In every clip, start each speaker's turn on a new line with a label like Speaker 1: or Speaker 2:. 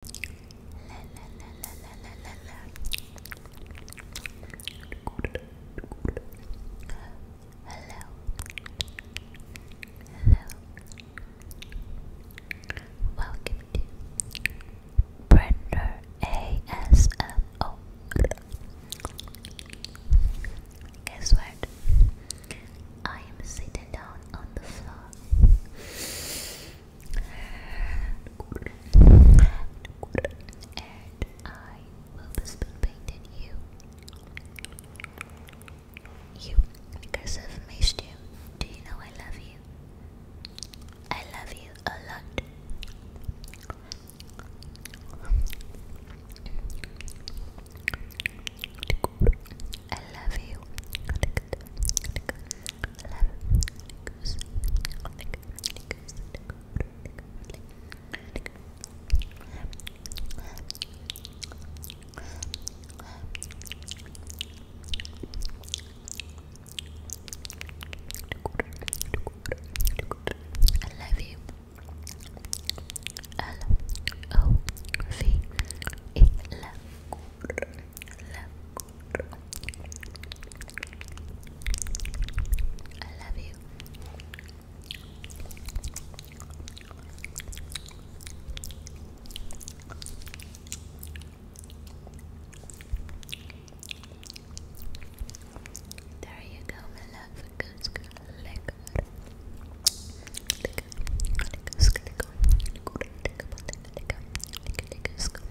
Speaker 1: Hello. Hello. Welcome to Brenda ASMO. Guess what? I am sitting down on the floor. And I will spoon paint in you. You, because of me, Stu. Do you know I love you? I love you a lot. I love you. I love you. L O V E love, love, I love you. There you go, my love. Goose, good, lick, good. Lick, lick, lick, lick, lick, lick, lick, lick, lick, lick, lick, lick, lick, lick,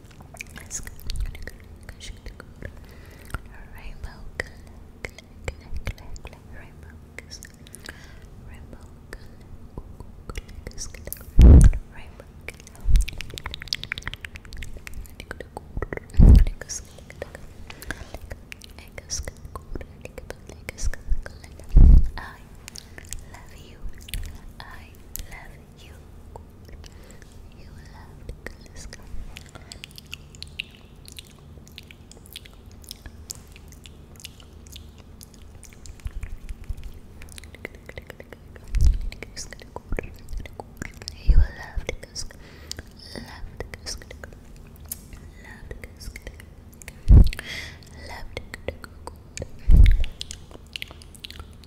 Speaker 1: That's good. Rainbow color, color, color, color, color. rainbow color, rainbow color, rainbow color. I love you. I love you you loved Kaliska. You loved Kusk, loved Kusk, loved Kusk, loved Kusk, loved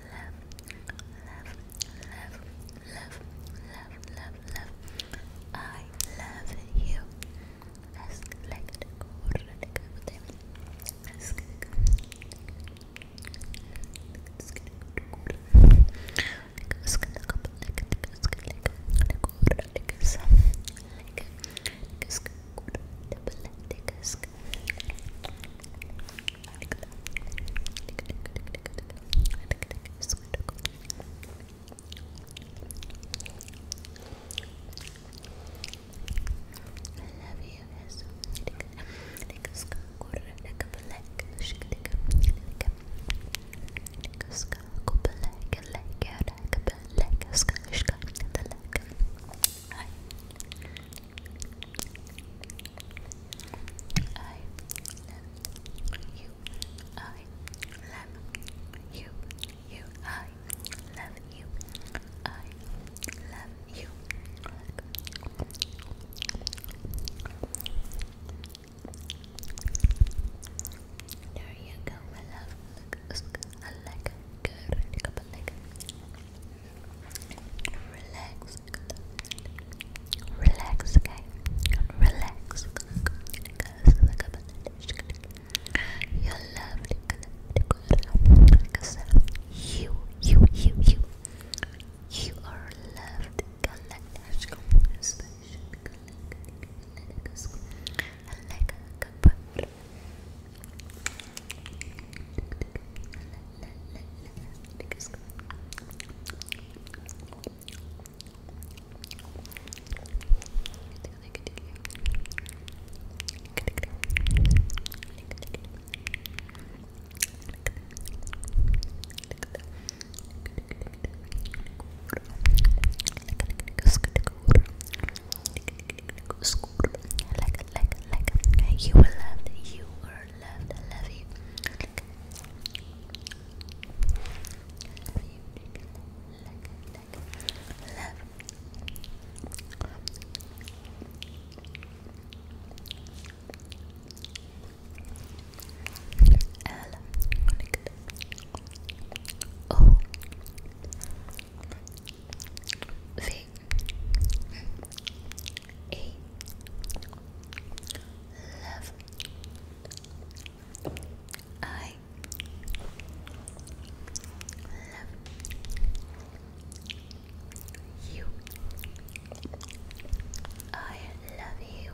Speaker 1: love, love, love, love, love. I love you. Ask like the court, Ask like
Speaker 2: love you guys. Take a skull quarter, take a black, shake a dick, take a skull, go black, and like a black, a skull, the leg. Hi. I love you. I love you. You. I love you. There you go, my love. Look, like Good. Look Relax. Relax, okay? Relax. You're lovely. you, you, you, you, you are loved. Like, you will love, you are loved. I love you. love you. Like, like, love. L. Like, a love I love you I love you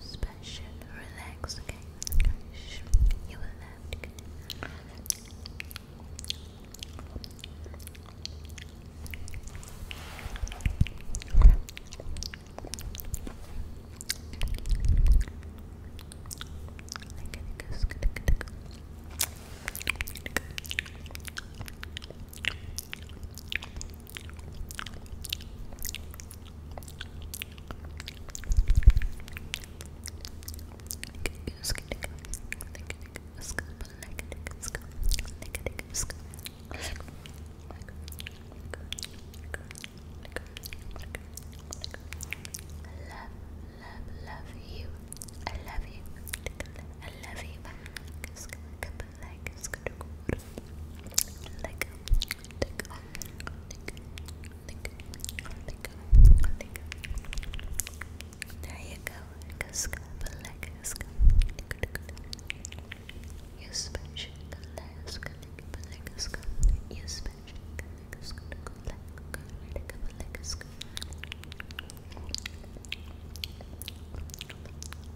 Speaker 2: special, relax, okay? You will have to love, love you. I love you. I love you black is gonna go like like there you go, black is you special black is black is you special black is black black is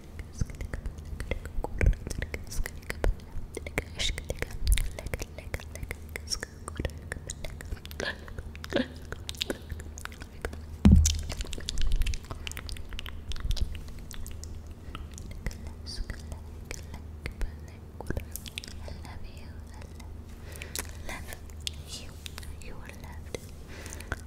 Speaker 2: love you. I love you. You are loved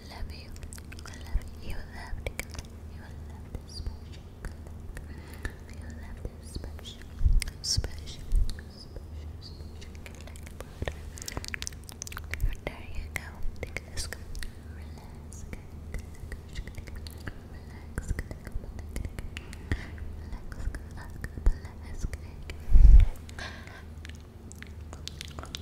Speaker 2: love you. I love you. You love this. You love this special. You love this special. Special. Special. Special. Like butter. There you go. Take this. Relax. Relax. Relax. Relax.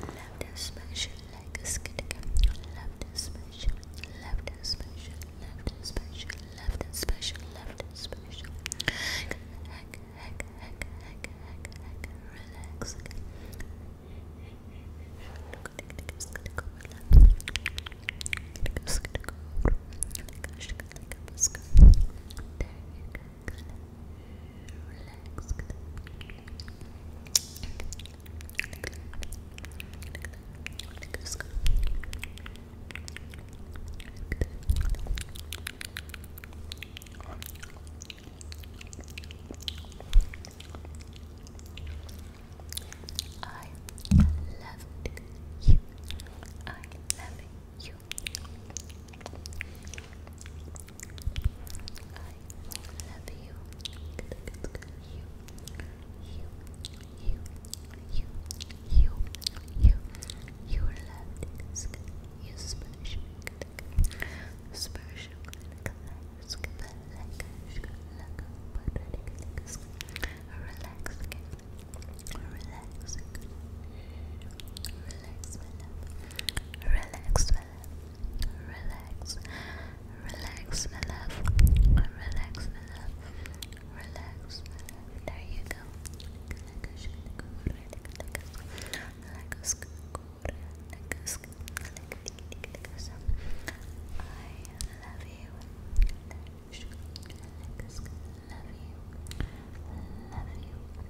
Speaker 2: Love this special like a skit. Love this special. Love this special. Love this special. Love this special. Love this special. Heck, heck, heck, heck, heck, heck. Relax. There you go relax. I love you. I love you love you. You, you, you, you, you, you, you are loved. You special. Special. Relax, Relax. Relax, my love. Relax, my love. Relax. Relax, my love. Relax, my love. Relax, my love. There you go. I love you. Love you. Love you.